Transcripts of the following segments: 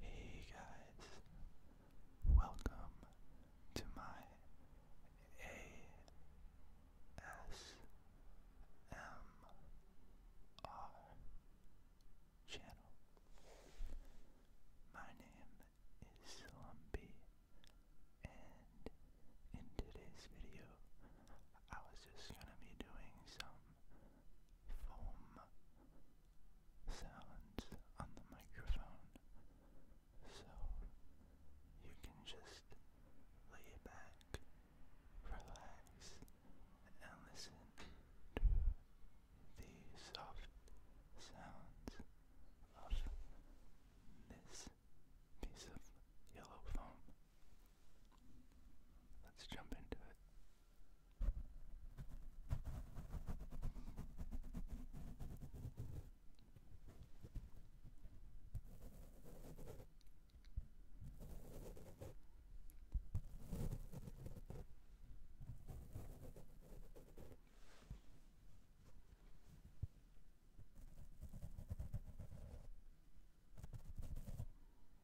Hey guys, welcome to my ASMR channel. My name is Slumpy, and in today's video, I was just gonna be doing some foam sounds on the microphone, so you can just lay back, relax, and listen to the soft sounds of this piece of yellow foam. Let's jump into it.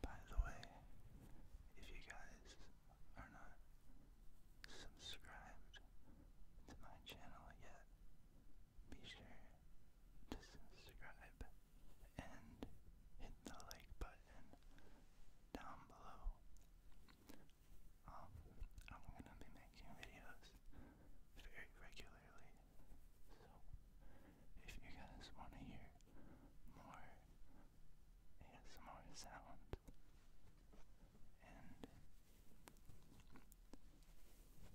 By the way, if you guys are not subscribed to my channel yet, be sure to subscribe and hit the like button down below. Um, I'm gonna be making videos very regularly. So, if you guys want to hear more ASMR sound and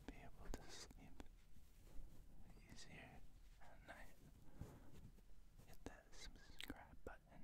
be able to sleep easier at night, hit that subscribe button.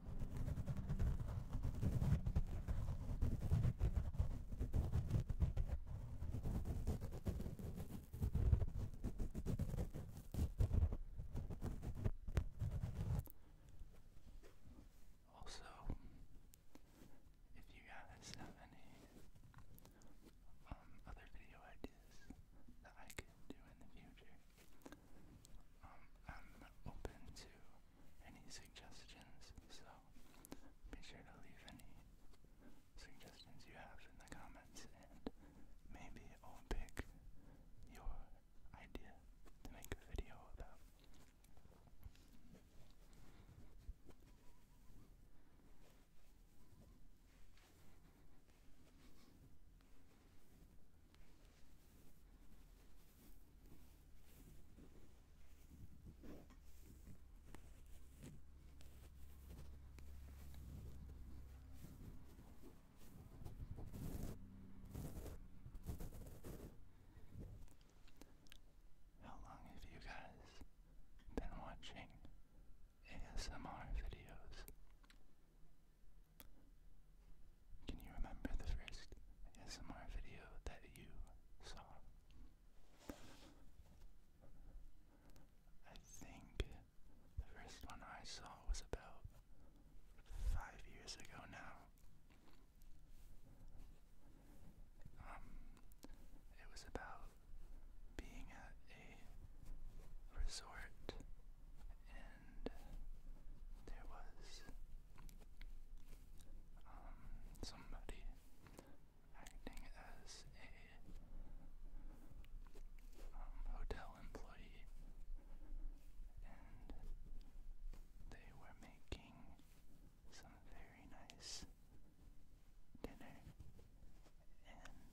Also, if you guys have any um, other video ideas that I could do in the future, um, I'm open to any suggestions, so be sure to leave any suggestions you have in the comments, and maybe I'll pick your idea to make a video about. How long have you guys been watching ASMR videos? Can you remember the first ASMR video that you saw? I think the first one I saw was about five years ago now. Um, it was about being at a resort there was um, somebody acting as a um, hotel employee, and they were making some very nice dinner and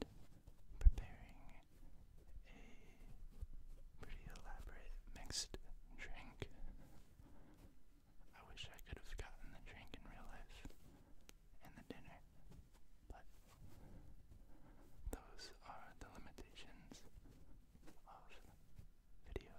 preparing a pretty elaborate mixed drink. I wish I could have gotten the drink in real life and the dinner, but those are the limitations of videos.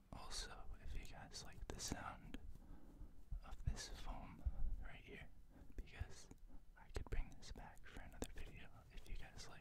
also, if you guys like the sound of this foam right here, because I could bring this back for another video if you guys like.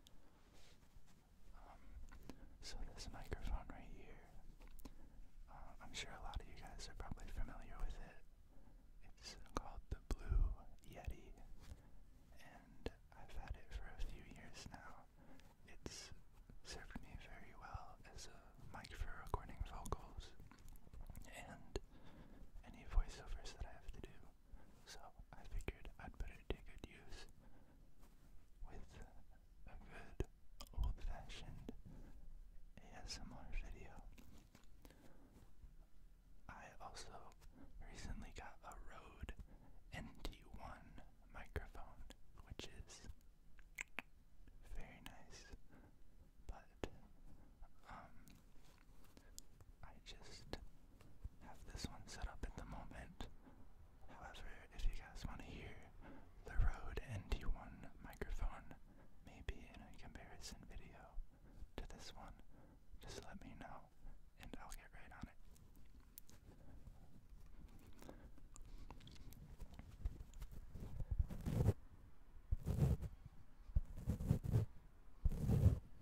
Um, so this microphone right here, uh, I'm sure a lot of you guys are probably familiar with it. It's called the Blue Yeti, and I've had it for a few years now. It's served me very well as a mic for recording vocals and any voiceovers that I have to do so I figured I'd put it good use with a good old-fashioned ASMR video. I also recently got a Rode NT1 microphone, which is very nice, but um, I just have this one set up at the moment. However, if you guys want to hear the Rode NT1 microphone, maybe in a comparison video to this one, just let me know and I'll get right on it.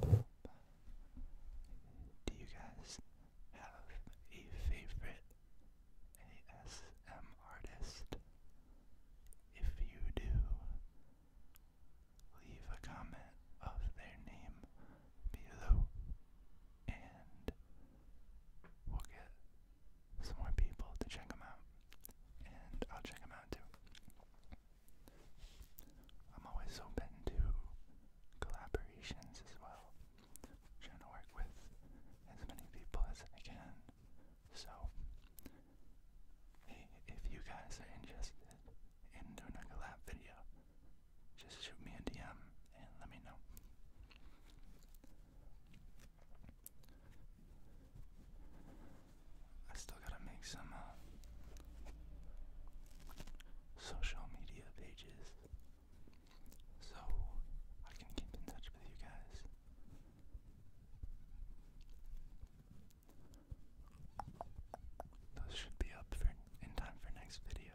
Do you guys have a favorite ASM artist? If you do, leave a comment of their name below and we'll get some more people to check them out. And I'll check them out too. I'm always open to collaborations as well. trying to work with as many people as I can. So, hey, if you guys are interested in doing a collab video, just shoot me a DM and let me know. I still gotta make some uh, social media pages so I can keep in touch with you guys. Those should be up for in time for next video.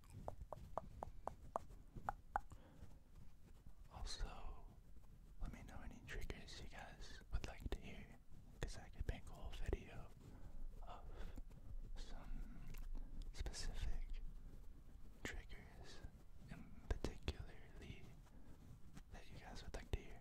Also, let me know any triggers you guys would like to hear, because I could make a whole video of some specific triggers in particularly that you guys would like to hear.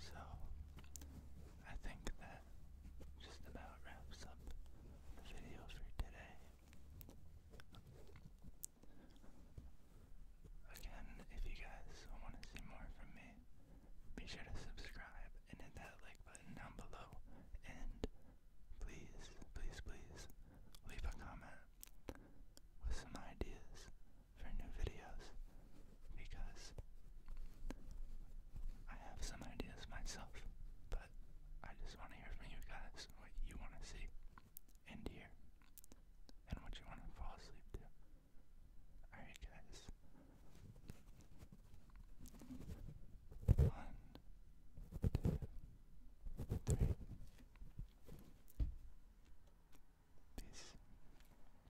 so, I think that just about wraps up the video for today. Again, if you guys want to see more from me, be sure to subscribe and hit that like button down below. And please, please, please leave a comment with some ideas for new videos because I have some ideas myself, but I just want to hear from you guys what you want to see and hear and what you want to fall asleep to. Alright, guys. One, two, three. Peace.